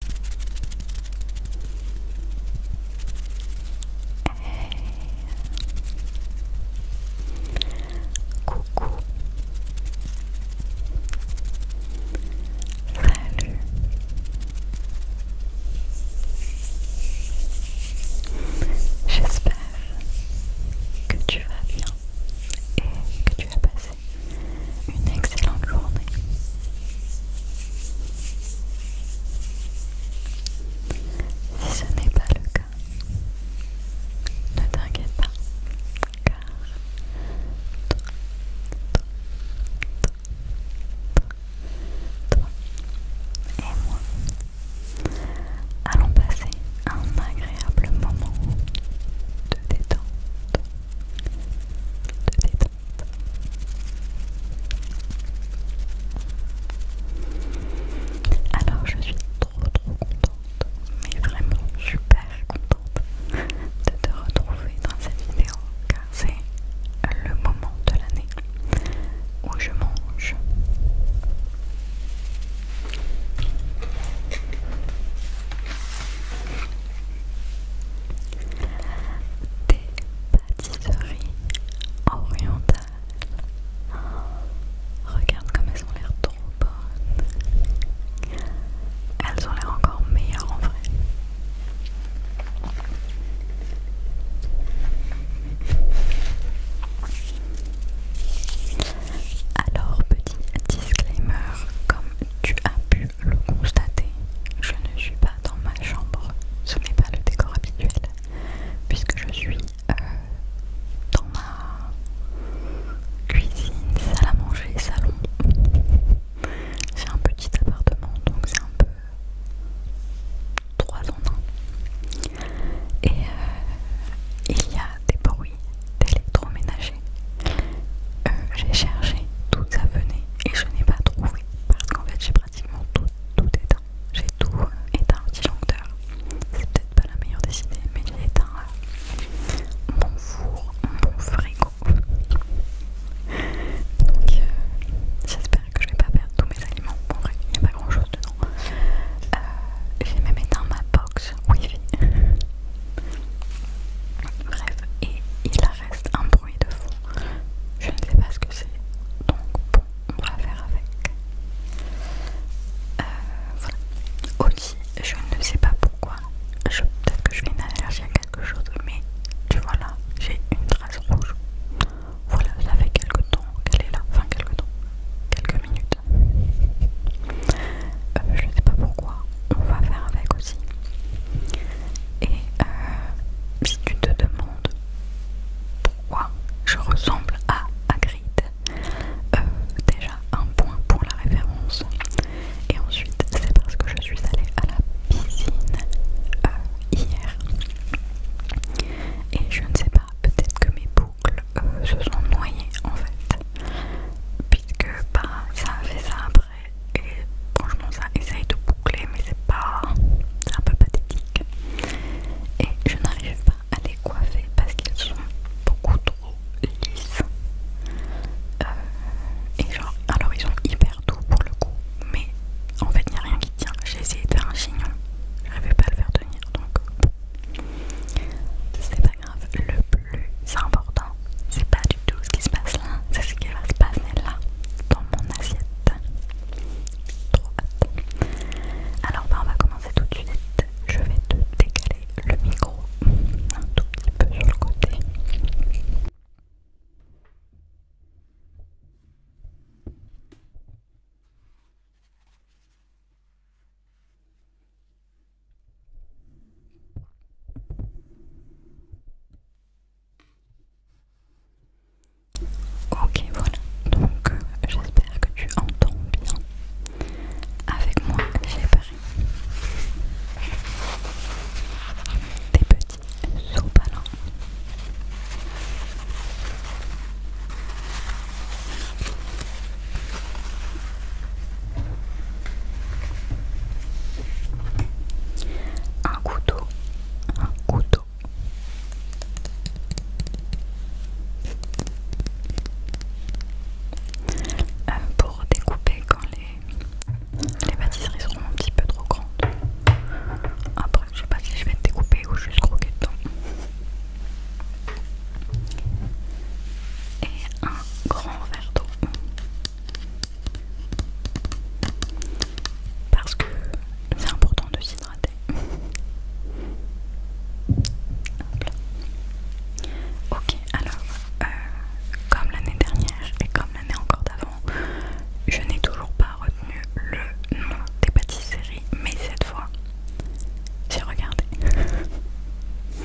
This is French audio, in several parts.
Coucou. Salut. J'espère que tu vas bien et que tu as passé une excellente journée. Si ce n'est pas le cas, ne t'inquiète pas, car toi, et moi allons passer un agréable moment de de détente. Alors je suis trop trop contente, mais vraiment super contente de te retrouver dans cette vidéo car c'est le moment de l'année où je mange des pâtisseries orientales. Regarde comme elles ont l'air trop bonnes. Elles ont l'air encore meilleures en vrai. Alors, petit disclaimer, comme tu as pu le constater, je ne suis pas dans ma chambre, ce n'est pas le décor habituel, puisque je suis euh, dans ma cuisine, salle à manger, salon. C'est un petit appartement, donc c'est un peu trois en 1. Et euh, il y a des bruits d'électroménager. Euh, j'ai cherché d'où ça venait et je n'ai pas trouvé parce qu'en fait j'ai pratiquement tout, tout éteint. J'ai tout éteint le disjoncteur. C'est peut-être pas la meilleure des idées, mais j'ai éteint euh, mon four, mon frigo. Donc euh, j'espère que je ne vais pas perdre tous mes aliments. En vrai, il n'y a pas grand chose dedans. Euh, j'ai même éteint ma box wifi. Bref, et il a reste un bruit de fond. Je ne sais pas ce que c'est. Donc bon, on va faire avec. Euh, voilà. Aussi, je ne sais pas pourquoi. Peut-être que je fais une allergie à quelque chose, mais tu vois là, j'ai une trace rouge. Voilà, ça fait quelques temps qu'elle est là. Enfin, quelques temps. Quelques minutes. Euh, je ne sais pas pourquoi. On va faire avec aussi. Et euh, si tu te demandes pourquoi je ressemble à Hagrid, euh, déjà un point pour la référence. Et ensuite, c'est parce que je suis allée à la piscine euh, hier. Et je ne sais pas, peut-être que mes boucles se sont noyées en fait. Puisque bah, ça a fait ça et franchement ça essaye de boucler mais c'est pas un peu pathétique et je n'arrive pas à les coiffer parce qu'ils sont beaucoup trop lisses euh, et genre alors ils sont hyper doux pour le coup mais en fait il n'y a rien qui tient j'ai essayé de faire un chignon j'arrivais pas à le faire tenir donc c'est pas grave le plus important c'est pas du tout ce qui se passe là, c'est ce qui va se passer là, dans mon assiette. Trop Alors bah, on va commencer tout de suite. Je vais te décaler le micro un tout petit peu sur le côté. Ok voilà, donc euh, j'espère que tu entends bien avec moi j'ai préparé des petits sopalins. Un couteau, un couteau. Euh, pour découper quand les, les pâtisseries seront un petit peu trop grandes. Après, je sais pas si je vais découper ou juste croquer dedans. Et un grand verre d'eau. Parce que c'est important de s'hydrater. ok, alors, euh, comme l'année dernière et comme l'année encore d'avant, je n'ai toujours pas retenu le nom des pâtisseries, mais cette fois, j'ai regardé.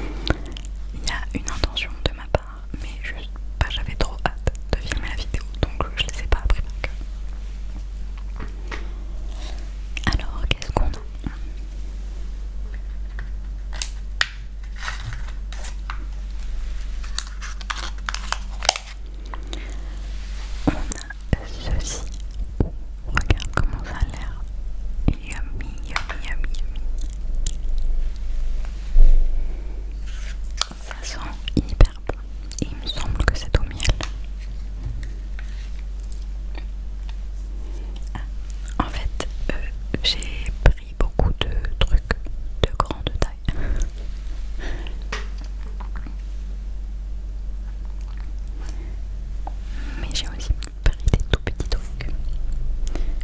Il y a une intention de ma part mais juste pas j'avais trop hâte de filmer la vidéo donc je les ai pas appris par cœur. Alors qu'est-ce qu'on a on a ceci. Regarde comment ça a l'air. Yummy, yummy, yummy, yummy. Ça sent hyper bon. Et il me semble que c'est au miel. Ah, en fait, euh, j'ai pris beaucoup de trucs de grande taille. Mais j'ai aussi pris des tout petits trucs.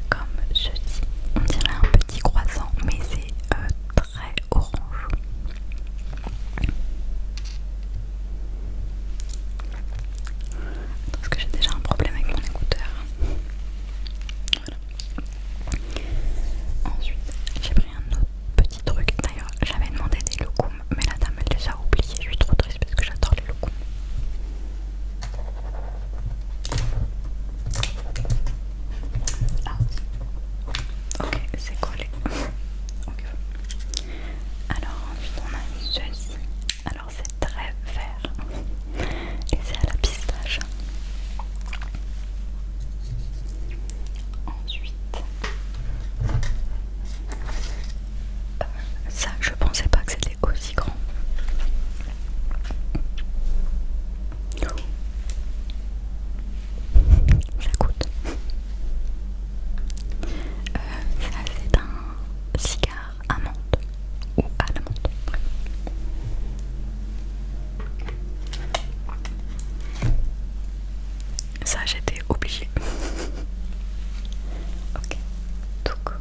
Comme ceci. On dirait un petit petit croissant, mais c'est euh, très orange. Parce que j'ai déjà un problème avec mon écouteur. Ensuite, j'ai pris un autre petit truc. D'ailleurs, j'avais demandé des locums, mais la dame elle les a oubliés. Je suis trop triste parce que j'adore les locums. Ah, ok, c'est collé. Alors, ensuite, on a ceci. Alors, c'est très vert et c'est à la pistache. Ensuite, euh, ça, je pensais pas que c'était aussi grand. Ça euh, ça c'est un cigare amande ou à l'amande. Ça j'étais obligée. ok, donc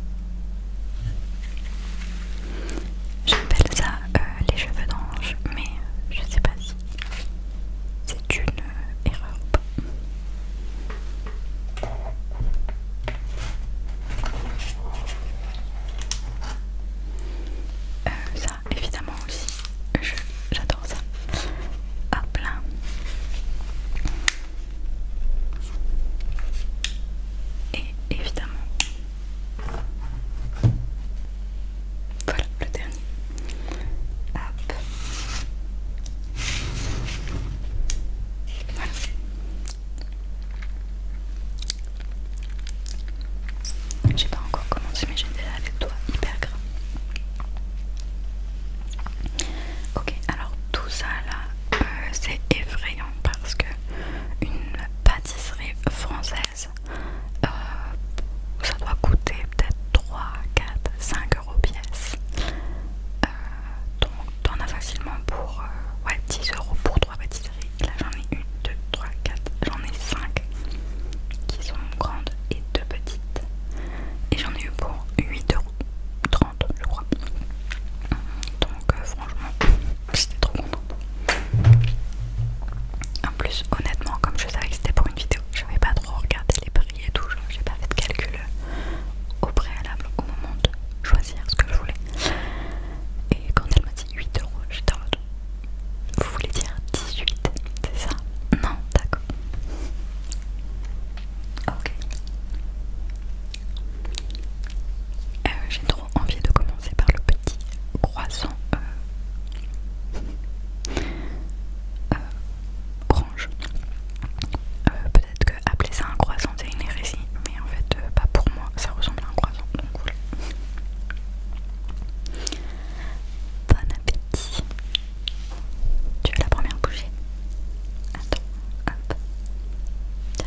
j'appelle ça euh, les cheveux d'ange, mais je sais pas si c'est une erreur ou pas. Euh, ça, évidemment aussi, j'adore ça. Hop ah, là. Et évidemment, voilà le dernier. Hop. Voilà. J'ai pas encore commencé mais j'ai déjà les doigts hyper gras. Ok alors tout ça là euh, c'est effrayant parce que une pâte pâtisserie française. Euh, ça doit coûter peut-être 3, 4, 5 euros pièce. Euh, donc t'en as facilement pour 10 euh, euros pour 3 pâtisseries. Là j'en ai une, 2, 3, 4, j'en ai 5 qui sont grandes et deux petites. Et j'en ai eu pour 8 euros. 30 je crois donc franchement j'étais trop contente. En plus, honnêtement, comme je savais que c'était pour une vidéo, je n'avais pas trop regardé les prix et tout, j'ai pas fait de calcul euh, au préalable au moment de choisir ce que je voulais. Et quand elle m'a dit 8 euros, j'étais en mode Vous voulez dire 18, c'est ça Non, d'accord. Ok. Euh, j'ai trop envie de commencer c'est par le petit croissant euh, euh, euh, Peut-être que appeler ça un croissant c'est une hérésie, mais en fait, euh, pas pour moi, ça ressemble à un croissant donc voilà. Bon appétit! Tu veux la première bouchée? Attends, hop, tiens.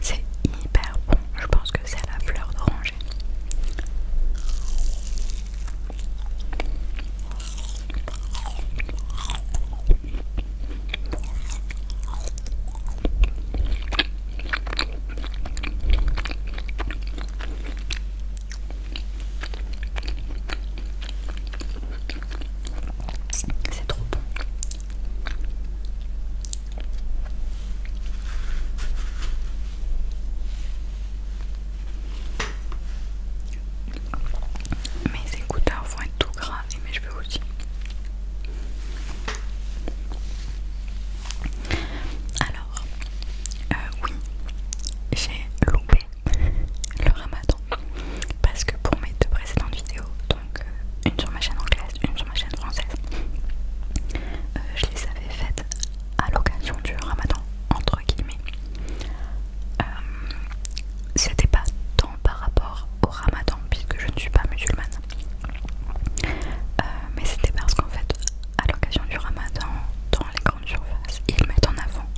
C'est hyper bon, je pense que c'est la fleur d'oranger. C'est trop bon. Mes écouteurs vont être tout gras et mes cheveux aussi. Alors, euh, oui, j'ai loupé le ramadan parce que pour mes deux précédentes vidéos, euh, une sur ma chaîne anglaise, une sur ma chaîne française. Euh, je les avais faites à l'occasion du ramadan, entre guillemets. Euh, c'était pas tant par rapport au ramadan, puisque je ne suis pas musulmane. mais c'était parce qu'en fait, à l'occasion du ramadan, dans les grandes surfaces, ils mettent en avant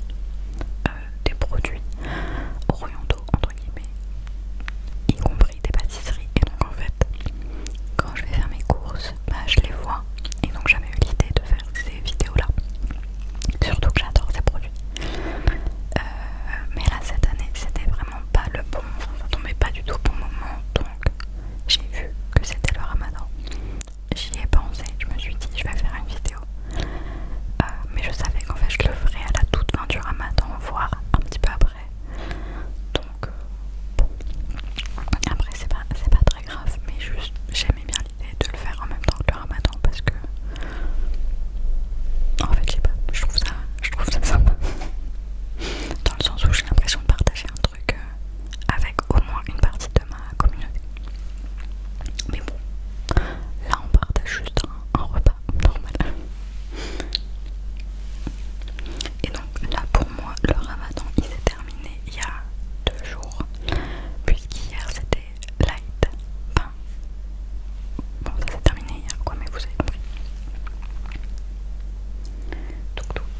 des produits orientaux entre guillemets, y compris des pâtisseries. Et donc en fait, quand je vais faire mes courses, bah je les vois. Et donc j'avais eu l'idée de faire ces vidéos-là. Surtout que j'adore ces produits. Euh, mais là cette année, c'était vraiment pas le bon. ça tombait pas du tout au bon moment. Donc j'ai vu que c'était le ramadan. J'y ai pensé, je me suis dit je vais faire une vidéo. Euh, mais je savais qu'en fait je le ferais à la toute fin du ramadan, voire un petit peu après. Donc, euh, bon. Après, c'est pas, très grave, mais juste j'aimais bien l'idée de le faire en même temps que le ramadan parce que. En fait, je pas, je trouve ça, je trouve ça sympa. Dans le sens où j'ai l'impression de partager un truc euh, avec au moins une partie de ma communauté. Mais bon, là on partage juste un repas normal. Et donc là pour moi le ramadan il s'est terminé il y a deux jours puisqu'hier c'était light. Enfin, bon ça s'est terminé hier quoi mais vous avez compris.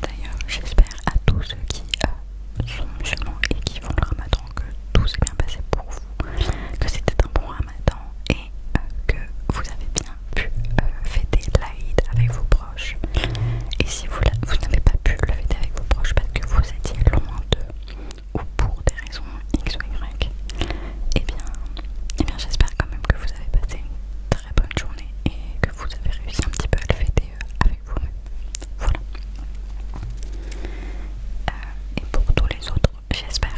d'ailleurs j'espère à tous ceux qui euh, sont musulmans et qui font le ramadan que tout s'est bien passé pour vous, que c'était un bon ramadan euh, que vous avez bien pu euh, fêter l'Aïd avec vos proches. Et si vous, n'avez pas pu le fêter avec vos proches parce que vous étiez loin d'eux ou pour des raisons X ou Y, Et eh bien, eh bien j'espère quand même que vous avez passé une très bonne journée et que vous avez réussi un petit peu à le fêter euh, avec vous-même. Voilà. et pour tous les autres, j'espère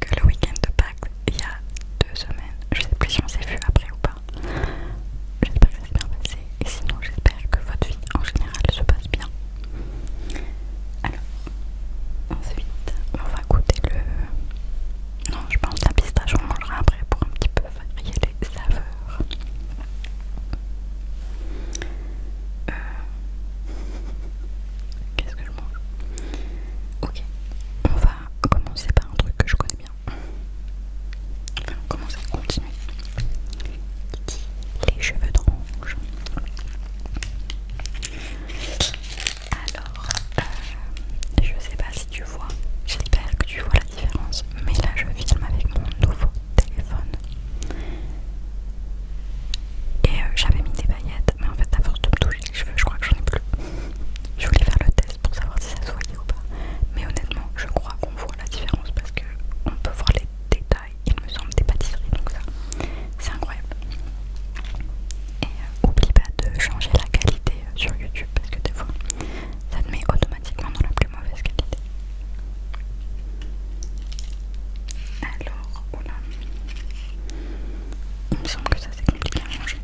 que le week-end de Pâques, il y a deux semaines, je sais plus si on s'est vu après ou pas. J'espère que c'est s'est bien passé et sinon j'espère que votre vie en général se passe bien. Alors, ensuite, on va goûter le... Non, je pense la pistache, on mangera après pour un petit peu varier les saveurs. Euh, qu'est-ce que je mange Ok, on va commencer par un truc que je connais bien. va à continuer. les cheveux d'orange. Alors, euh, je sais pas si tu vois, j'espère que tu vois la différence, mais là je filme avec mon nouveau téléphone. Et euh, j'avais mis des paillettes mais en fait, à force de me toucher les cheveux, je crois que j'en ai plus. Je voulais faire le test pour savoir si ça se voyait ou pas, mais honnêtement, je crois qu'on voit la différence parce que on peut voir les détails, il me semble, des pâtisseries, donc ça, c'est incroyable. Et euh, oublie pas de changer la qualité euh, sur YouTube parce que des fois, ça te met automatiquement dans la plus mauvaise qualité. Alors, on Il me semble que ça c'est compliqué à manger.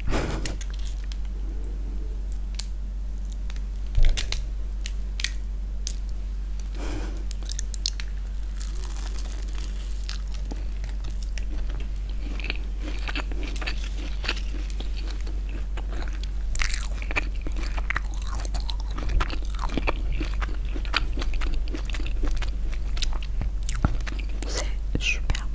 C'est super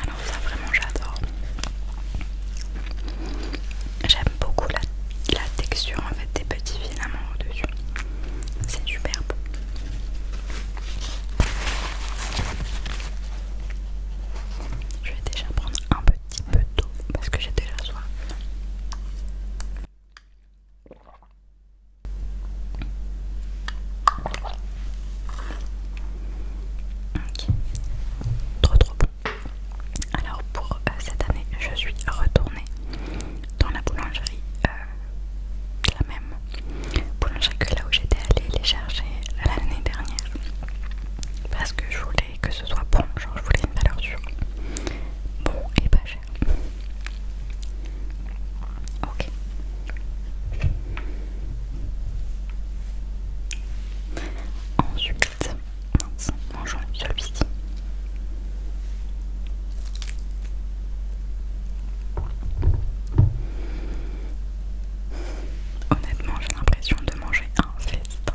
Alors ça vraiment j'adore. J'aime beaucoup la, texture en fait des petits filaments au-dessus. C'est superbe. Je vais déjà prendre un petit peu d'eau parce que j'ai déjà soif. Ok, trop trop bon. Alors pour euh, cette année, je suis retournée dans la boulangerie, euh, la même boulangerie que là où j'étais allée les chercher l'année dernière. Parce que je voulais que ce soit bon, genre je voulais une valeur sûre. Bon et pas cher. Ok. Ensuite, Mince, mangeons celui-ci. Honnêtement, j'ai l'impression de manger un festin.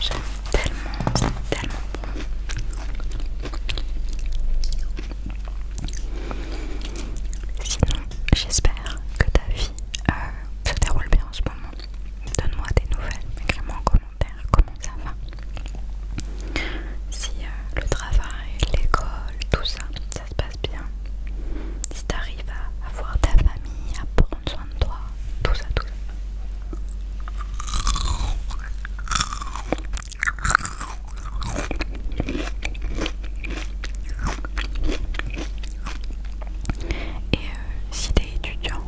J'aime tellement, c'est tellement Sinon, j'espère que ta vie euh, se déroule bien en ce moment. Donne-moi des nouvelles, écris-moi en commentaire comment ça va si euh, le travail, l'école, tout ça, ça se passe bien, si t'arrives à avoir ta famille, à prendre soin de toi, tout ça, tout ça. Et euh, si t'es étudiant,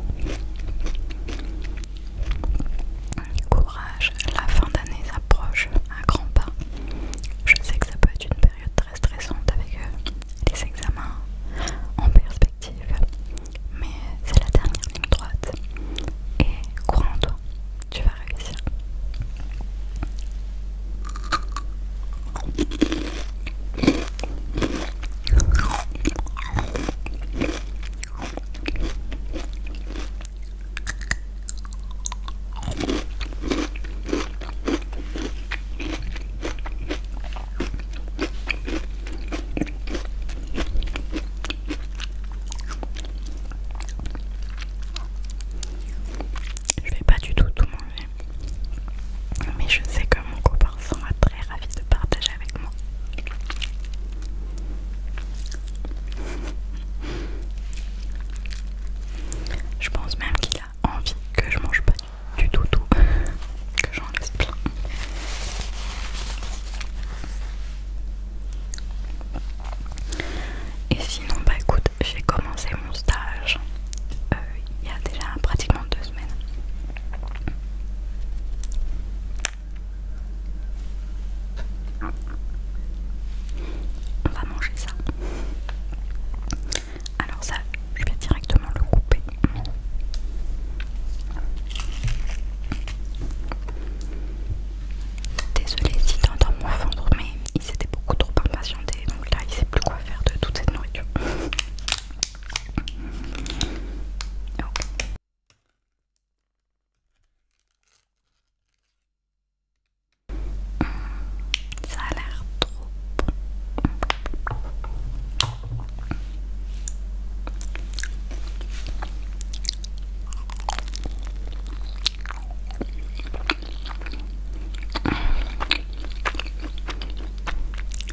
Courage, la fin d'année s'approche à grands pas. Je sais que ça peut être une période très stressante avec euh, les examens en perspective, mais c'est la dernière ligne droite. Et crois en toi, tu vas réussir. Je vais pas du tout tout manger, mais je sais que mon copain sera très ravi de partager avec moi. Je pense même qu'il a envie que je mange pas du tout tout, que j'en laisse plein. Et sinon, bah écoute, j'ai commencé mon stage euh, il y a déjà pratiquement deux semaines. On va manger ça. Alors ça, je vais directement le couper. Désolée si t'entends moi ventre, mais il s'était beaucoup trop impatienté, donc là il sait plus quoi faire de toute cette nourriture. ça a l'air trop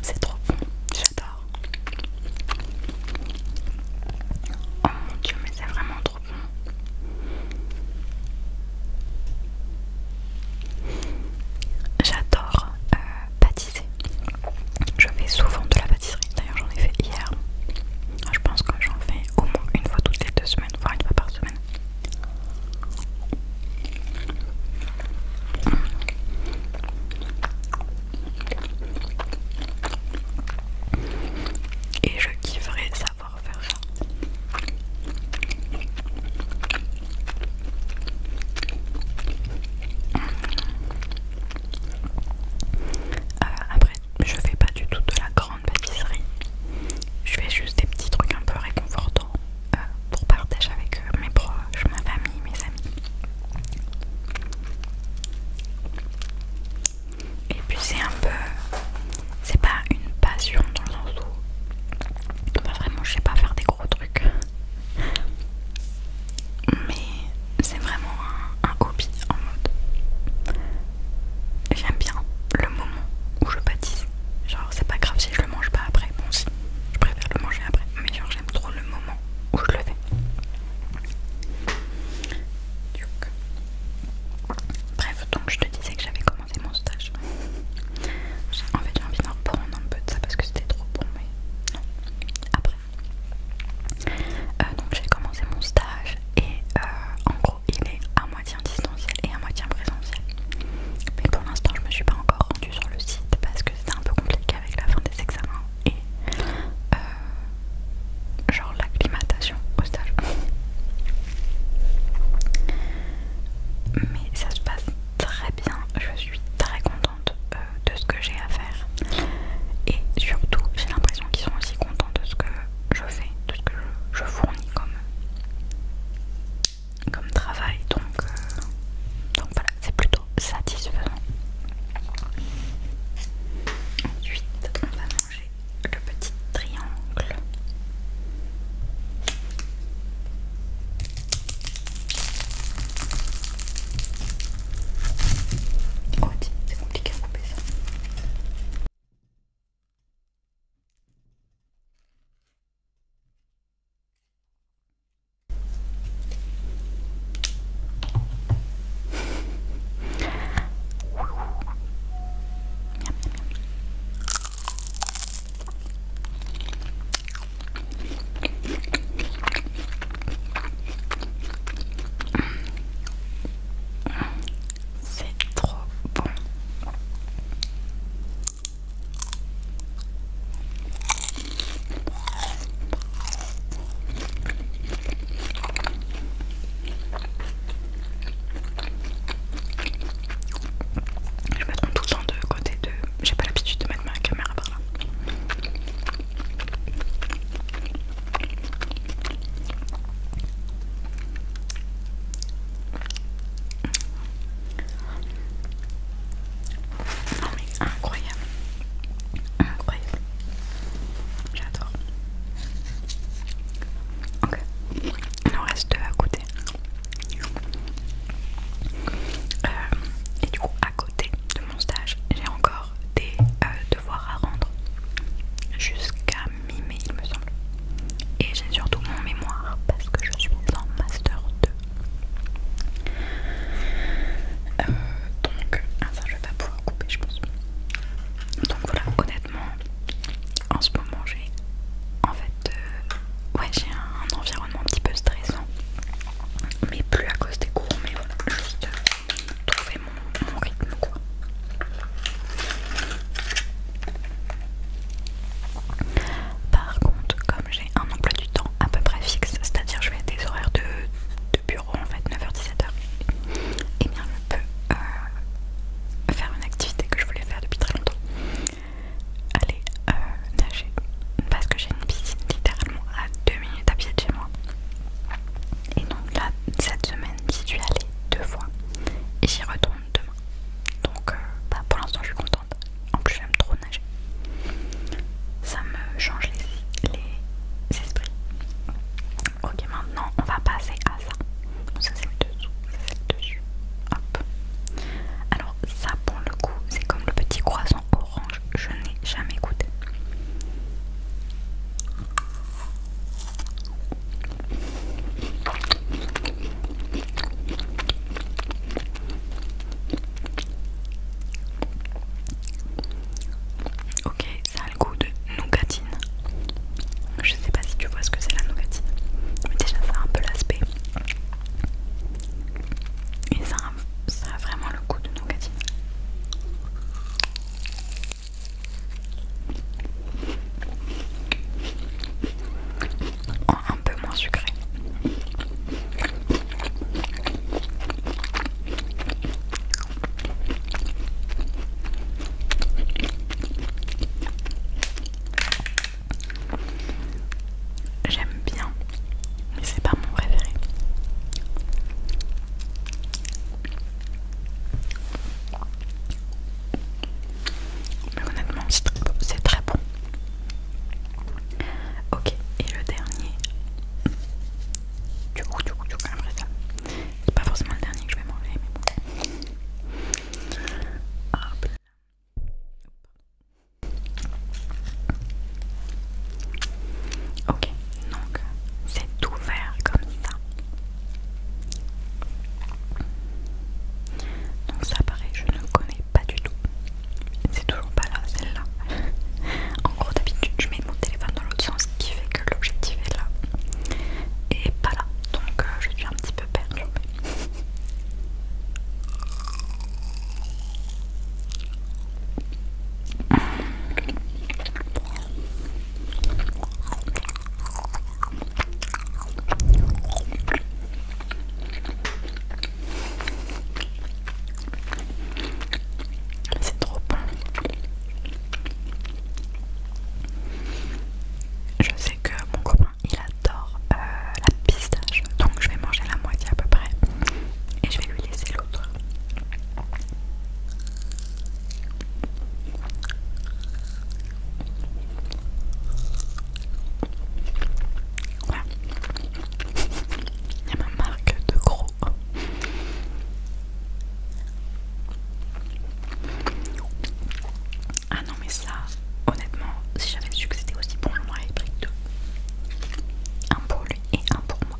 C'est trop bon, j'adore. Oh mon dieu, mais c'est vraiment J'adore baptiser. Euh, je fais souvent de la pâtisserie. D'ailleurs, j'en ai fait hier. Ah, je pense que j'en fais au moins une fois toutes les deux semaines, voire une fois par semaine. Et je kifferais ça refaire euh, après, je fais pas du tout de la grande pâtisserie. Je fais juste des petits trucs un peu réconfortants euh, pour partager avec euh, mes proches, ma famille, mes amis. Et puis c'est un peu. C'est pas une passion dans le sens où. bah vraiment, je sais pas faire des gros trucs. Mais c'est vraiment un, hobby en mode. J'aime bien le moment où je pâtisse. Genre, c'est pas grave si je le mange pas après. Bon, si, je préfère le manger après. Mais genre, j'aime trop le moment où je le fais. Donc. Bref, donc je te disais que j'avais commencé mon stage. en fait, j'ai envie d'en reprendre un peu de ça parce que c'était trop bon, mais non. Après, euh, donc j'ai commencé mon stage et euh, en gros, il est à moitié distanciel et à moitié présentiel. Mais pour l'instant, je me suis pas encore rendue sur le site parce que c'était un peu compliqué avec la fin des examens et euh, genre l'acclimatation au stage. Mais ça se passe très bien, je suis très contente euh, de ce que j'ai à faire et surtout j'ai l'impression qu'ils sont aussi contents de ce que je fais, de ce que je, fournis comme, comme travail donc, euh, donc voilà, c'est plutôt satisfaisant. Ensuite, j'ai le petit triangle. Oh, c'est compliqué à couper ça. C'est trop bon. Je me trompe tout en deux, de côté de. J'ai pas l'habitude de mettre ma caméra par là. incroyable, incroyable. J'adore. Ok, il en reste deux à côté. Euh, et du coup, à côté de mon stage, j'ai encore des euh, devoirs à rendre jusqu'à mi-mai, il me semble. Et j'ai surtout mon mémoire parce que je suis en master 2. Euh, donc, enfin, ça je vais pas pouvoir couper, je pense. Donc voilà, en ce moment, j'ai en fait, euh, ouais, j'ai un environnement un petit peu stressant, mais plus à cause des cours, mais voilà, juste trouver mon, rythme quoi. Par contre, comme j'ai un emploi du temps à peu près fixe, c'est-à-dire je vais à des horaires de, de bureau en fait 9h-17h, eh et bien je peux euh, faire une activité que je voulais faire depuis très longtemps. Aller euh, nager. Parce que j'ai une piscine littéralement à 2 minutes à pied de chez moi. Et donc là, cette semaine, j'y suis allée deux fois. Et j'y retourne demain. Donc euh, bah, pour l'instant, je suis contente. En plus, j'aime trop nager. Ça me change les esprits. Ok, maintenant on va passer à ça. Ça c'est le dessous, c'est le dessus. Hop. Alors ça pour le coup, c'est comme le petit croissant orange. Je n'ai jamais goûté. Ok, le goût de nougatine. Je sais pas si tu vois ce que c'est la nougatine, mais déjà ça a un peu l'aspect. Et ça a, vraiment le goût de nougatine. un peu moins sucré. J'aime bien, mais c'est pas mon préféré. Mais honnêtement, c'est très, bon. Ok, et le dernier. Du coup, du C'est pas forcément le dernier que je vais manger, mais bon. Ok, donc c'est tout vert comme ça. Donc ça paraît, je ne connais pas du tout. C'est toujours pas là, celle-là. en gros d'habitude je mets mon téléphone dans l'autre sens qui fait que l'objectif est là et pas là, donc euh, je suis un petit peu perdue. C'est trop bon. Je sais que mon copain il adore euh, la pistache, donc je vais manger la moitié à peu près et je vais lui laisser l'autre. Voilà. Il y a ma marque de gros. Ah non mais ça, honnêtement, si j'avais su que c'était aussi bon, moi il pris deux. Un pour lui et un pour moi.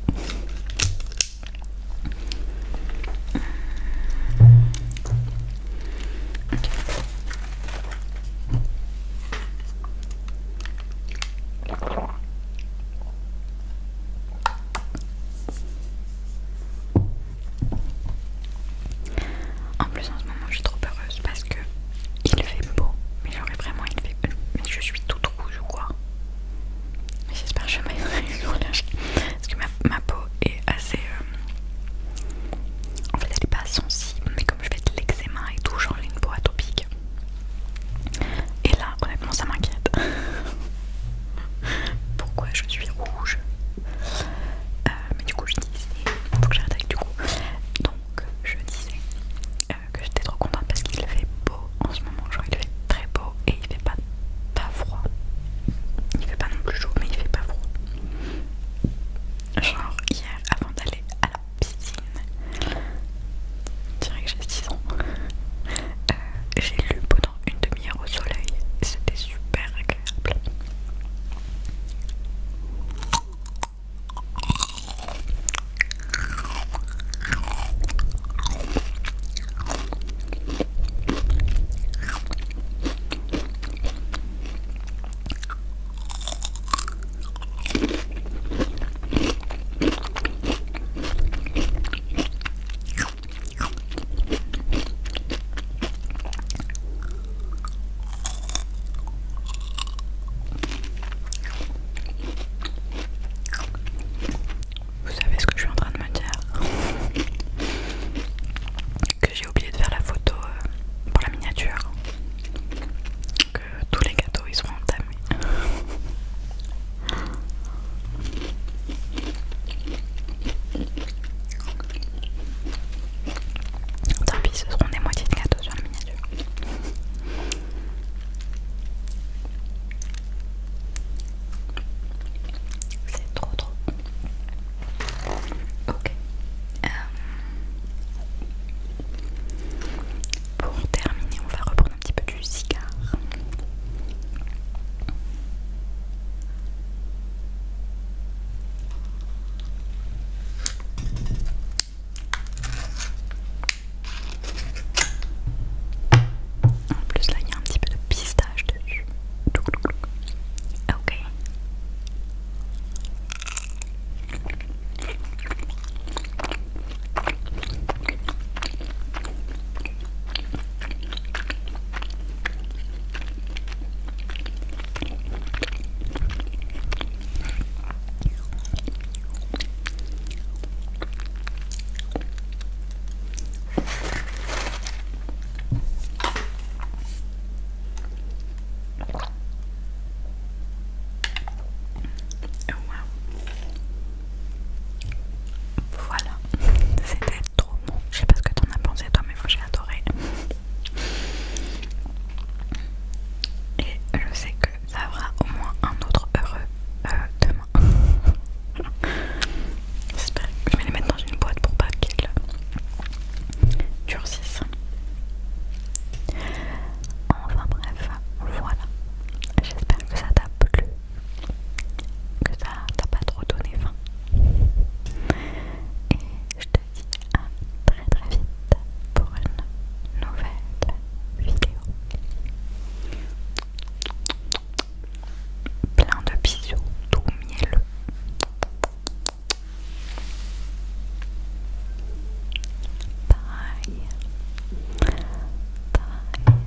En plus en ce moment je suis trop heureuse parce que il fait beau, mais j'aurais vraiment il fait je suis toute rouge ou quoi. J'espère que je m'aiderai parce que ma, peau est assez euh, en fait elle n'est pas sensible mais comme je fais de l'eczéma et tout j'ai une peau atopique. Et là honnêtement ça m'inquiète. pourquoi je suis rouge. Euh, mais du coup, je disais, faut que j'arrête avec du coup. Donc, je disais euh, que j'étais trop contente parce qu'il fait beau en ce moment. Genre, il fait très beau et il fait pas, froid. Il fait pas non plus chaud, mais il fait pas froid. Genre, hier, avant d'aller à la piscine, je dirais que j'ai 6 ans, j'ai lu pendant une demi-heure au soleil c'était super agréable. Vous savez ce que je suis en train de me dire Que j'ai oublié de faire la photo euh, pour la miniature. Que tous les gâteaux ils seront entamés. Tant pis, ce seront des moitiés de gâteau sur la miniature. C'est trop trop. Ok. Euh, pour terminer, on va reprendre un petit peu du cigare. En plus, là, il y a un petit peu de pistache dessus. Ah, ok. Voilà, c'était je sais pas ce que t'en as pensé toi, mais moi j'ai adoré. Et je sais que ça aura au moins un autre heureux euh, demain. J'espère que je vais les mettre dans une boîte pour pas qu'ils durcissent. Enfin bref, voilà. J'espère que ça t'a plu que ça t'a pas trop donné faim. Et je te dis à très très vite pour une nouvelle vidéo. Plein de bisous, tout mielleux. Bye. Bye.